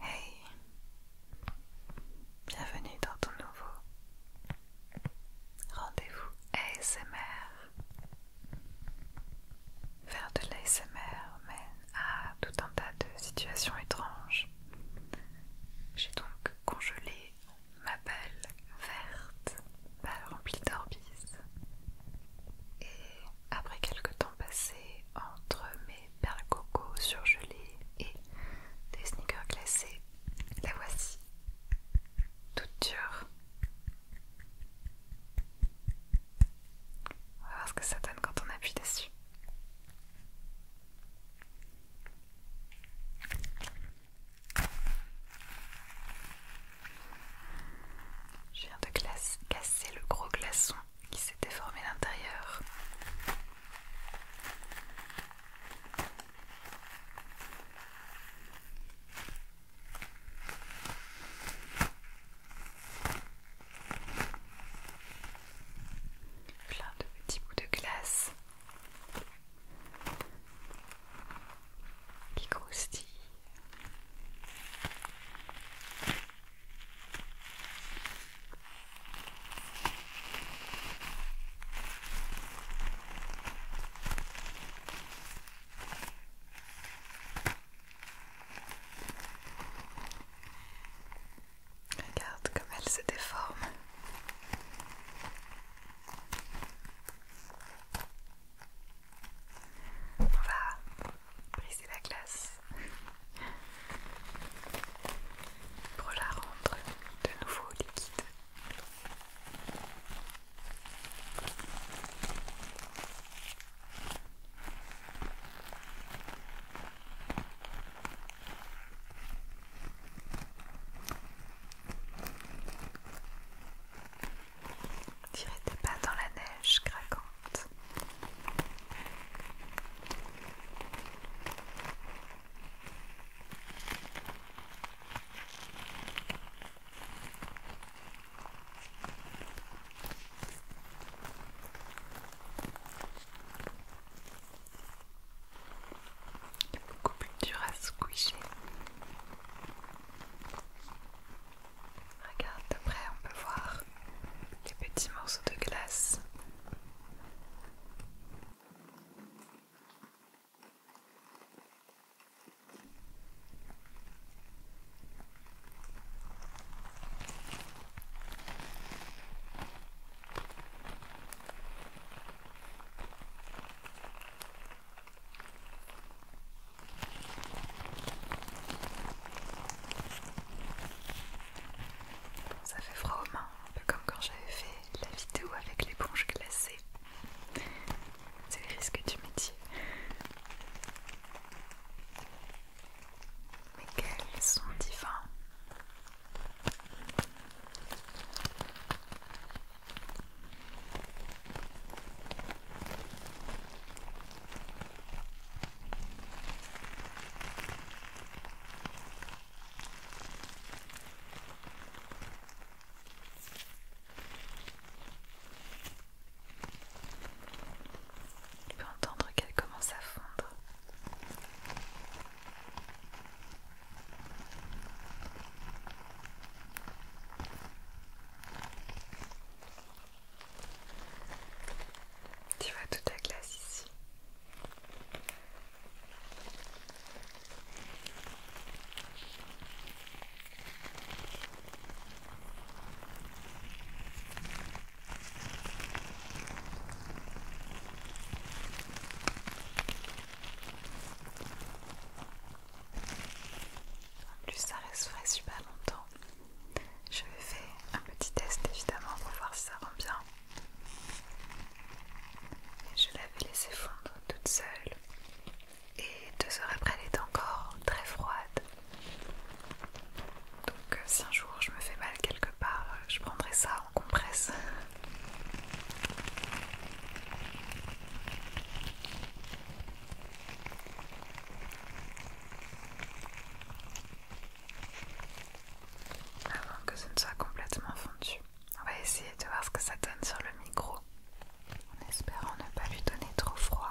Hey, bienvenue dans ton nouveau rendez-vous ASMR. Faire de l'ASMR mène à tout un tas de situations étranges. J'ai donc congelé ma balle verte, balle remplie d'orbis. Et après quelques temps passés entre mes perles coco surgelées et des sneakers glacés, la voici, toute dure, on va voir ce que ça donne quand on appuie dessus. Je viens de casser le gros glaçon qui s'est déformé à l'intérieur. Plein de petits bouts de glace qui croustillent. Regarde comme elle se déforme. On va briser la glace pour la rendre de nouveau liquide. Tirez des pas dans la neige craquante. Il beaucoup plus dur à coucher. Regarde de près, on peut voir les petits morceaux de glace. Ça fait froid aux mains, un peu comme quand j'avais fait la vidéo avec l'éponge glacée. C'est le risque du métier mais quels sont divins. Tu peux entendre qu'elle commence à fondre. Tu vois toute la glace ici. En plus, ça reste frais super longtemps. Je vais faire un petit test évidemment pour voir si ça rend bien. je l'avais laissé fondre toute seule. Et deux heures après, elle est encore très froide. Donc euh, si un jour je me fais mal quelque part, euh, je prendrai ça en compresse. Avant que ce ne soit complètement fondu. On va essayer de voir ce que ça donne sur le micro en espérant ne pas lui donner trop froid.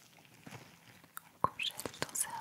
On congèle ton cerveau.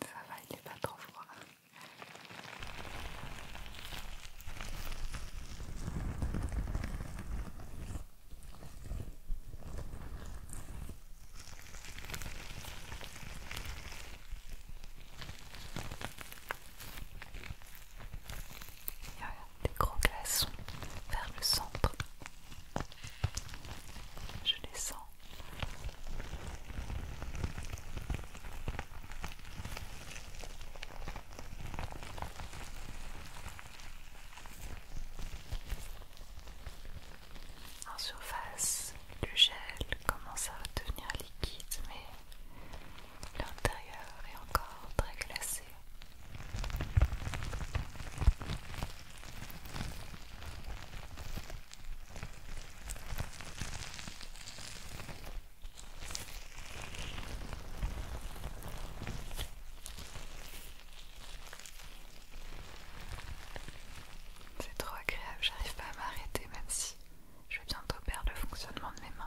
Ça va, il n'est pas trop froid. Il y a des gros glaçons vers le centre. Je descends. En surface, le gel commence à devenir liquide, mais l'intérieur est encore très glacé. C'est trop agréable, j'arrive pas à m'arrêter même si je vais bientôt perdre le fonctionnement de mes mains.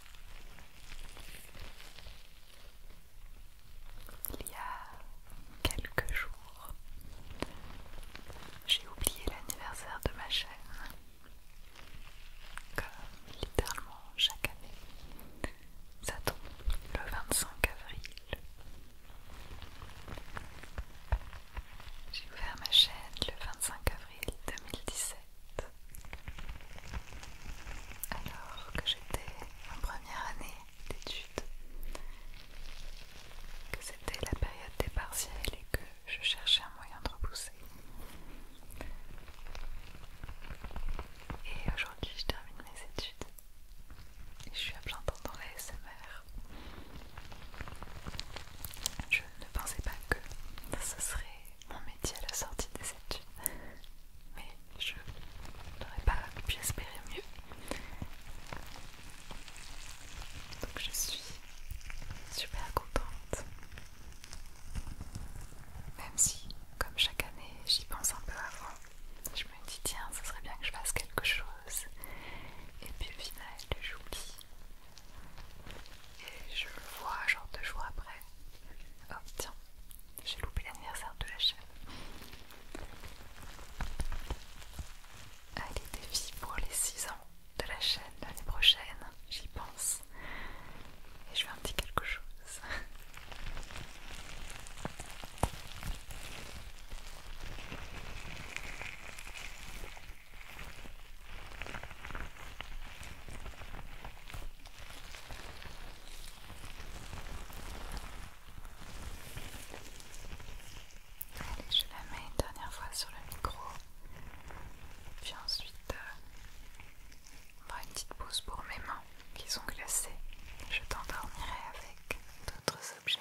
Il y a quelques jours, j'ai oublié l'anniversaire de ma chaîne, comme littéralement chaque année. Ça tombe le 25 avril. J'ai ouvert ma chaîne le 25 avril 2017 alors que j'étais en première année d'études, que c'était la période des partiels et que je cherchais un moyen de repousser. Et aujourd'hui, je termine mes études et je suis à plein temps dans la Je ne pensais pas que ça serait mon métier à la sortie des études. Mais je n'aurais pas pu espérer mieux. Donc je suis super contente. Même si, comme chaque année, j'y pense un peu avant. Je me dis tiens, ce serait bien que je fasse quelque chose. Et puis au final, j'oublie et je vois genre deux jours après. Oh tiens, j'ai loupé l'anniversaire de la chaîne. Allez défi pour les 6 ans de la chaîne l'année prochaine, j'y pense. Et je vais un petit quelque chose. Allez, je la mets une dernière fois sur le micro. Puis ensuite, euh, on fera une petite pause pour mes mains qui sont glacées. Je t'endormirai avec d'autres objets.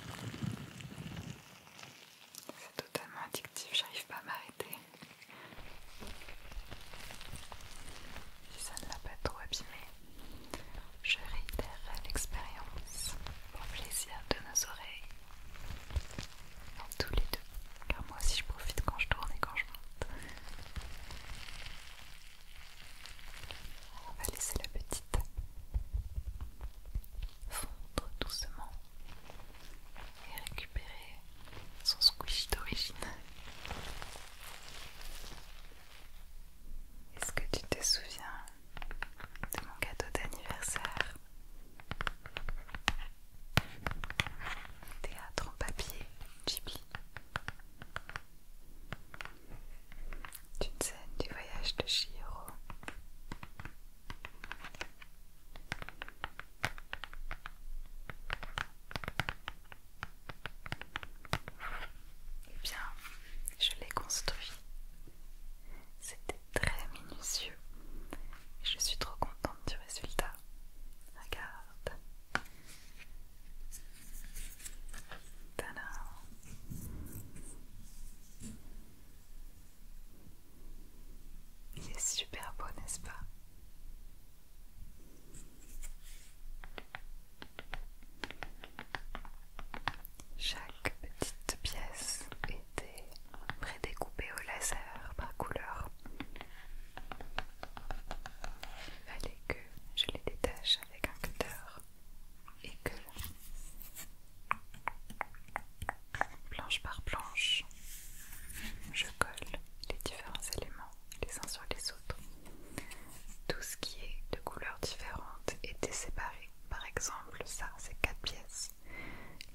C'est totalement addictif, j'arrive pas à m'arrêter. Si ça ne l'a pas trop abîmé, je réitérerai l'expérience pour plaisir de nos oreilles. en tous les deux, car moi aussi je profite quand je tourne et quand je monte. On va laisser la petite fondre doucement et récupérer son squish d'origine. Est-ce que tu te souviens de mon cadeau d'anniversaire Théâtre en papier, Ghibli d'une scène du voyage de Chihiro. Eh bien, je l'ai construit. C'était très minutieux. je suis trop contente du résultat. Regarde. Il est super beau, n'est-ce pas Chaque petite pièce était prédécoupée au laser par couleur. Il fallait que je les détache avec un cutter et que planche par planche, je colle les différents éléments les uns sur les autres. Tout ce qui est de couleurs différentes était séparé. Par exemple, ça, c'est quatre pièces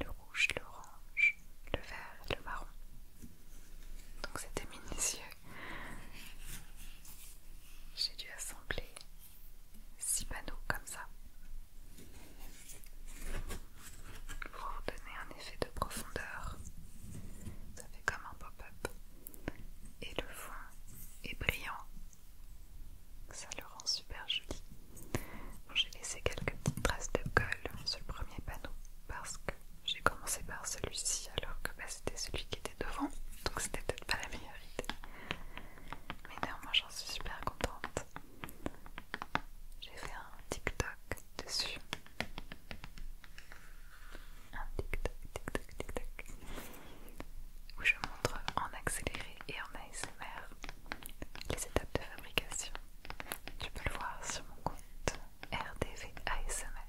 le rouge, l'orange, le vert et le marron. Donc c'était minutieux. J'ai dû assembler six panneaux comme ça pour donner un effet de profondeur. Ça fait comme un pop-up. Et le fond est brillant. Ça le rend super joli. j'ai laissé quelques petites traces de colle sur le premier panneau parce que j'ai commencé par celui-ci alors que bah, c'était celui qui était devant. Donc c'était peut-être pas la meilleure idée. Mais moi j'en suis super contente. J'ai fait un TikTok dessus. Un TikTok, TikTok, TikTok. Où je montre en accéléré et en ASMR les étapes de fabrication. Tu peux le voir sur mon compte RDV ASMR.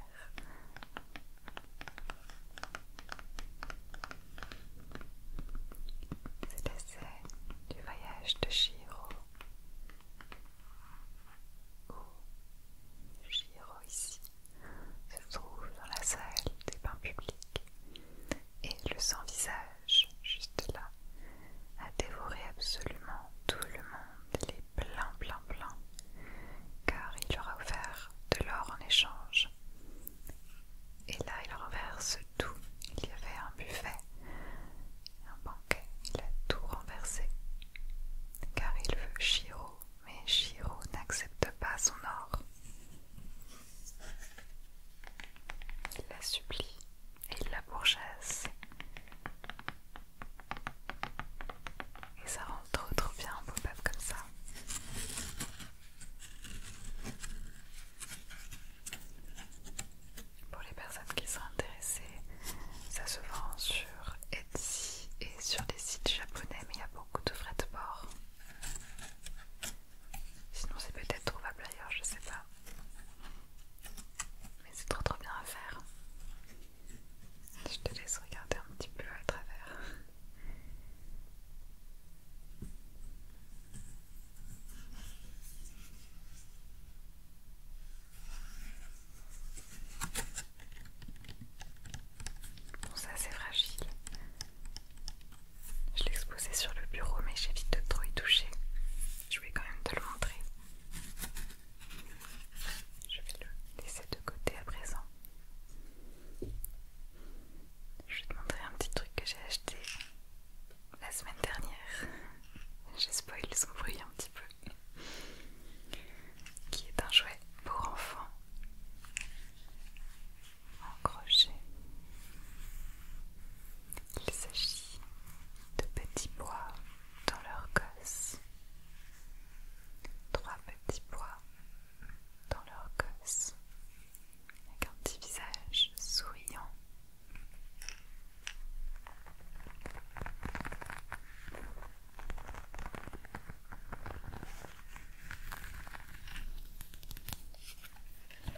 C'est scène du voyage de Giro où ici se trouve dans la salle des bains publics et le sans-visage juste là a dévoré absolument tout le monde, il est plein plein plein car il leur a offert de l'or en échange et là, il renverse tout. Il y avait un buffet, un banquet. Il a tout renversé. Car il veut Shiro, mais Shiro n'accepte pas son or. Il la supplie et il la pourchasse. Et ça rend trop bien un beau comme ça. Pour les personnes qui sont intéressées, ça se vend sur Etsy et sur des sites japonais, mais il y a beaucoup de frais de port. Sinon, c'est peut-être trouvable ailleurs, je sais pas. Mais c'est trop trop bien à faire. Je te laisse regarder un petit peu à travers. Bon ça c'est fragile. Je l'ai exposé sur le bureau mais j'évite de trop y toucher. Je vais quand même te le montrer. Je vais le laisser de côté à présent. Je vais te montrer un petit truc que j'ai acheté la semaine dernière. J'ai spoil son bruit un petit peu. Qui est un jouet pour enfants en crochet. Il s'agit de petits bois dans leur gosse. Trois petits bois dans leur gosse avec un petit visage souriant.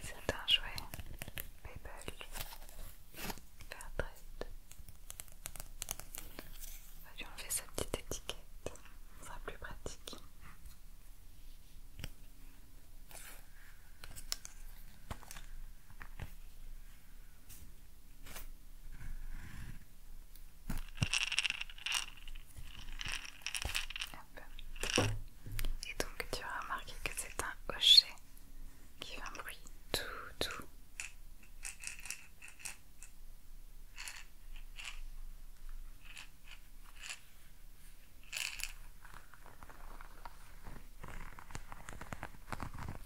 C'est un jouet Pebble Fairtrade. On va lui enlever sa petite étiquette, ce sera plus pratique. Et donc tu as remarqué que c'est un hochet qui fait un bruit tout tout.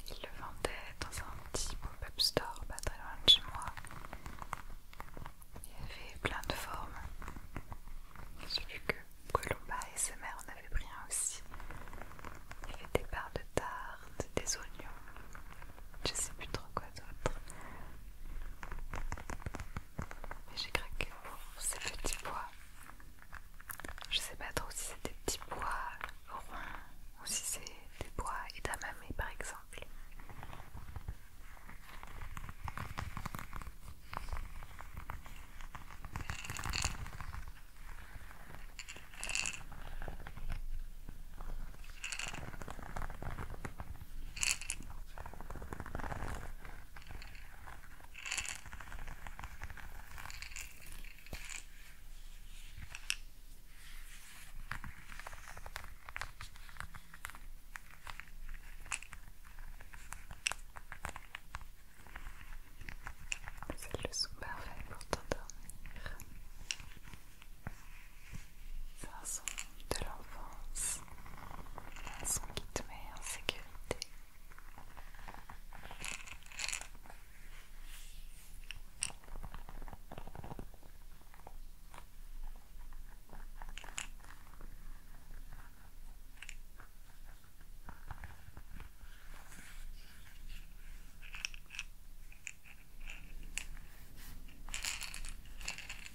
Il le vendait dans un petit pop-up store pas très loin de chez moi. Il y avait plein de formes. Celui que Colomba et sa mère en avaient pris un aussi. Il y avait des barres de tarte, des oignons, je sais plus trop quoi d'autre. J'ai craqué pour ces petits bois. Je sais pas trop si c'est des petits bois ronds ou si c'est des pois edamame par exemple. C'est le son pour t'endormir son de l'enfance, son qui met en sécurité.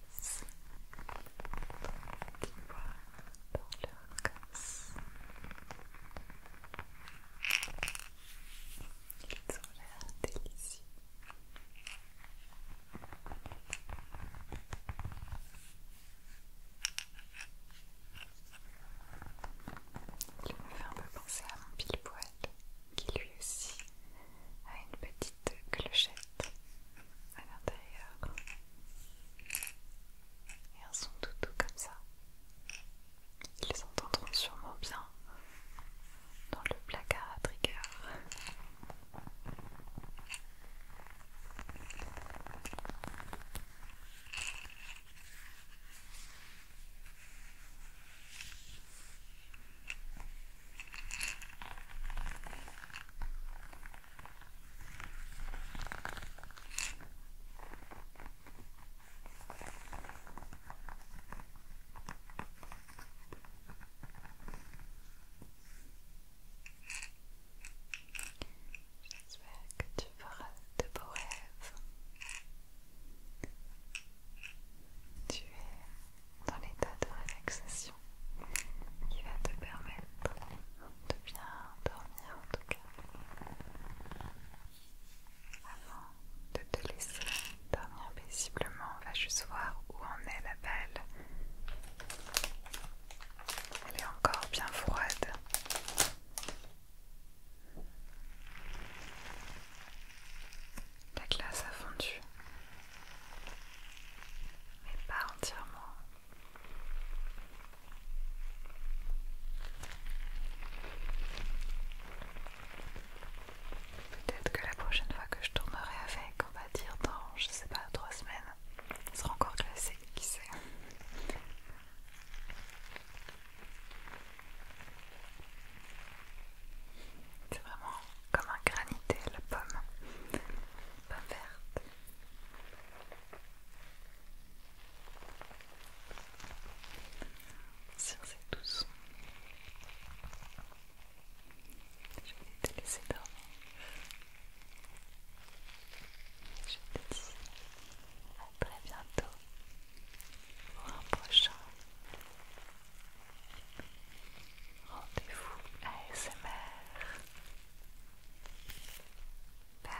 casse qui volent dans leur casse. Ils ont l'air délicieux. Il me fait un peu penser à mon pile-poil qui lui aussi à une petite clochette à l'intérieur et un son tout comme ça. Ils entendront sûrement bien dans le placard à trigger. J'espère que tu feras de beaux rêves. Tu es dans l'état de relaxation qui va te permettre de bien dormir en tout cas avant de te laisser dormir paisiblement on va juste voir où en est la balle elle est encore bien froide la glace a fondu mais pas entièrement. Peut-être que la prochaine fois que je tournerai avec, on va dire dans, je sais pas, trois semaines, sera encore glacé, qui sait. C'est vraiment comme un granité, la pomme, pomme verte. Sur ces douces, je vais te laisser dormir. Je te dis à très bientôt pour un prochain Rendez-vous ASMR. Bye.